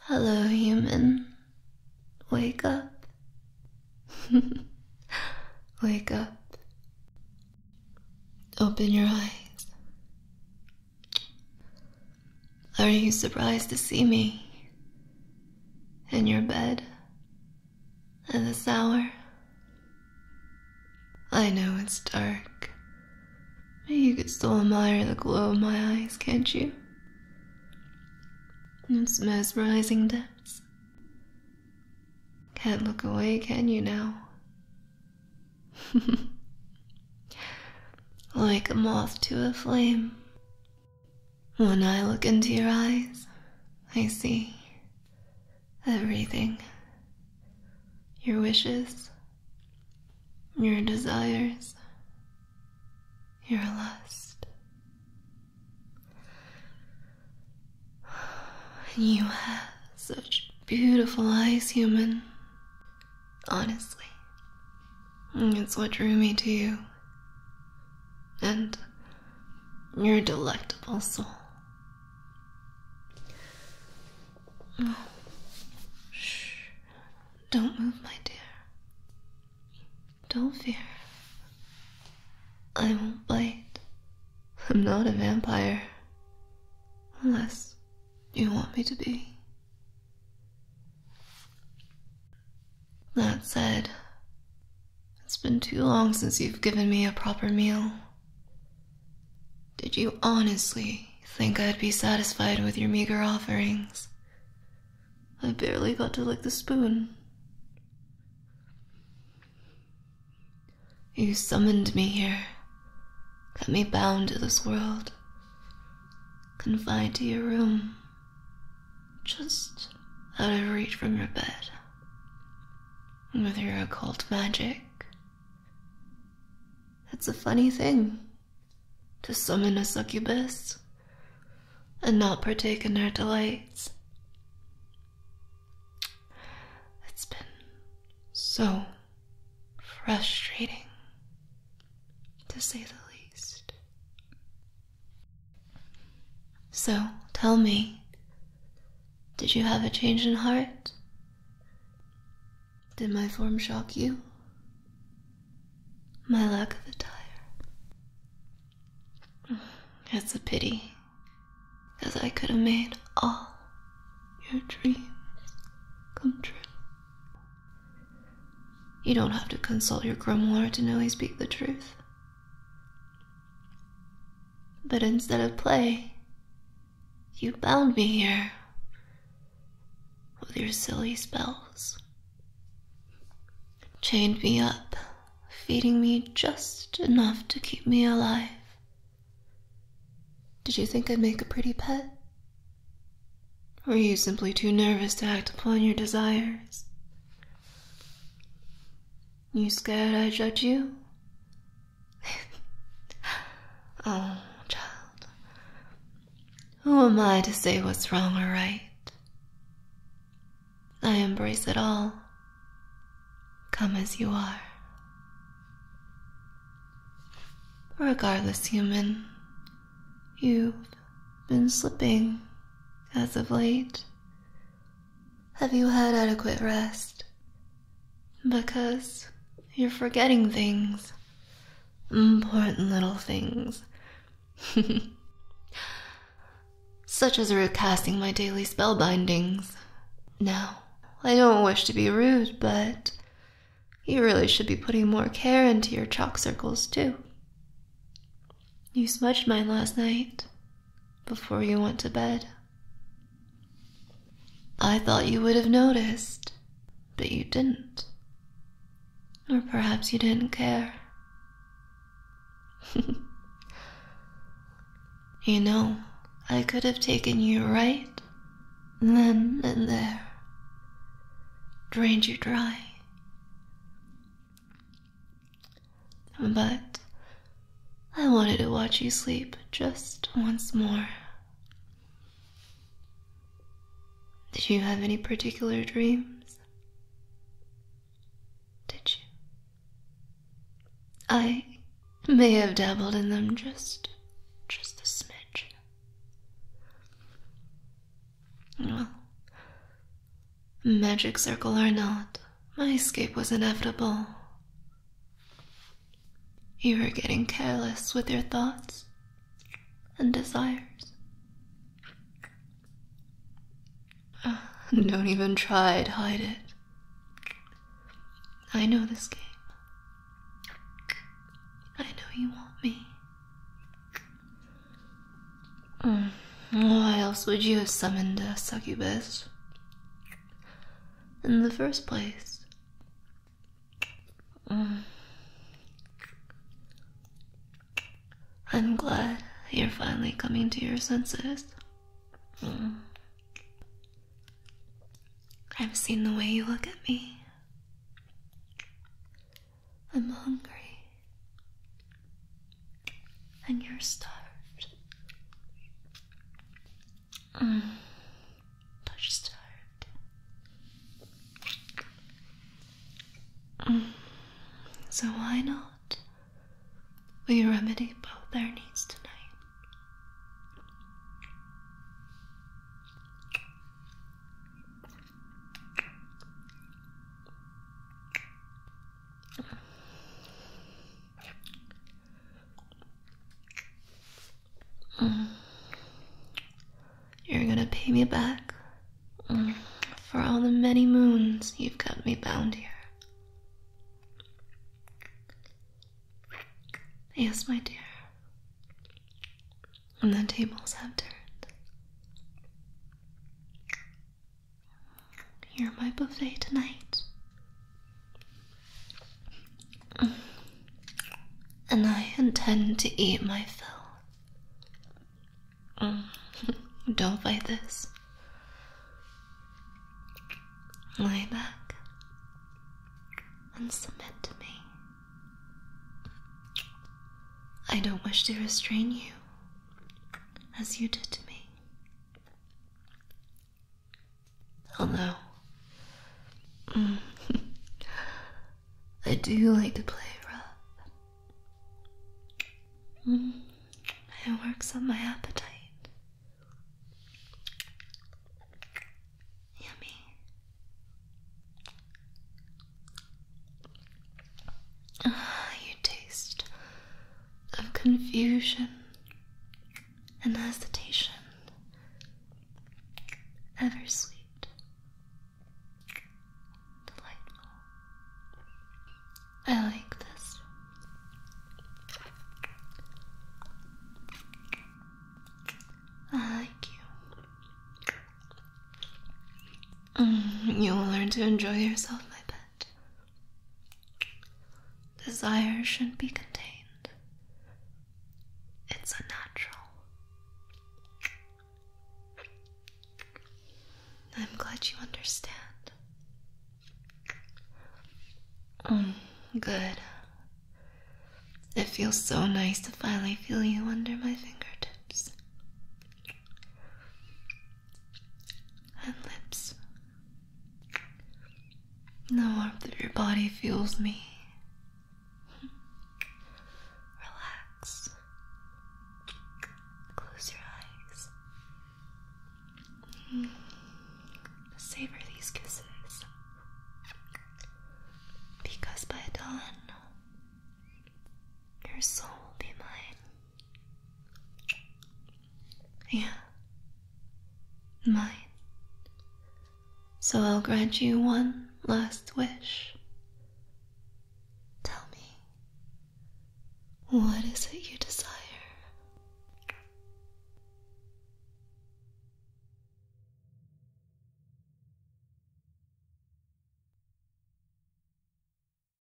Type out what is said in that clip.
Hello, human. Wake up. Wake up. Open your eyes. Are you surprised to see me? In your bed? At this hour? I know it's dark. You could still admire the glow of my eyes, can't you? Those mesmerizing depths. Can't look away, can you now? like a moth to a flame. When I look into your eyes, I see everything your wishes, your desires, your lust. You have such beautiful eyes, human. Honestly, it's what drew me to you. And your delectable soul. shh. Don't move, my dear. Don't fear. I won't bite. I'm not a vampire. Unless you want me to be. That said, it's been too long since you've given me a proper meal. Did you honestly think I'd be satisfied with your meager offerings? I barely got to lick the spoon. You summoned me here, got me bound to this world, confined to your room, just out of reach from your bed, with your occult magic. It's a funny thing to summon a succubus and not partake in her delights. It's been so frustrating, to say the least. So, tell me, did you have a change in heart? Did my form shock you? My lack of attire. It's a pity, because I could have made all your dreams come true. You don't have to consult your grimoire to know I speak the truth. But instead of play, you bound me here with your silly spells, chained me up, feeding me just enough to keep me alive. Did you think I'd make a pretty pet? Were you simply too nervous to act upon your desires? You scared I judge you? oh, child, who am I to say what's wrong or right? I embrace it all. Come as you are. Regardless, human, you've been slipping as of late. Have you had adequate rest? Because you're forgetting things. Important little things. Such as recasting my daily spell bindings. Now, I don't wish to be rude, but you really should be putting more care into your chalk circles, too. You smudged mine last night before you went to bed. I thought you would have noticed, but you didn't. Or perhaps you didn't care. you know, I could have taken you right then and there, drained you dry. But I wanted to watch you sleep just once more. Did you have any particular dreams? Did you? I may have dabbled in them just just a smidge. Well, magic circle or not, my escape was inevitable. You are getting careless with your thoughts and desires. Don't even try to hide it. I know this game. I know you want me. Why else would you have summoned a succubus? in the first place. Mm. I'm glad you're finally coming to your senses. Mm. I've seen the way you look at me. I'm hungry. And you're starved. Touch starved. So why not? We remedy both their needs tonight. Mm. You're gonna pay me back for all the many moons you've got me bound here. Yes, my dear. And the tables have turned. You're my buffet tonight. And I intend to eat my fill. Don't fight this. Lie back and submit to me. I don't wish to restrain you as you did to me. Although, mm, I do like to play rough. Mm. it works on my appetite. Yummy. Ah, you taste of confusion and hesitation, ever sweet, delightful. I like this. I like you. Mm, you will learn to enjoy yourself, my pet desire should not be contained. It's unnatural. I'm glad you understand. Um, good. It feels so nice to finally feel you under my fingertips and lips. The warmth of your body feels me. Relax. Close your eyes. Savor these kisses. Because by dawn, your soul will be mine. Yeah. Mine. So I'll grant you one last wish. Tell me, what is it you desire?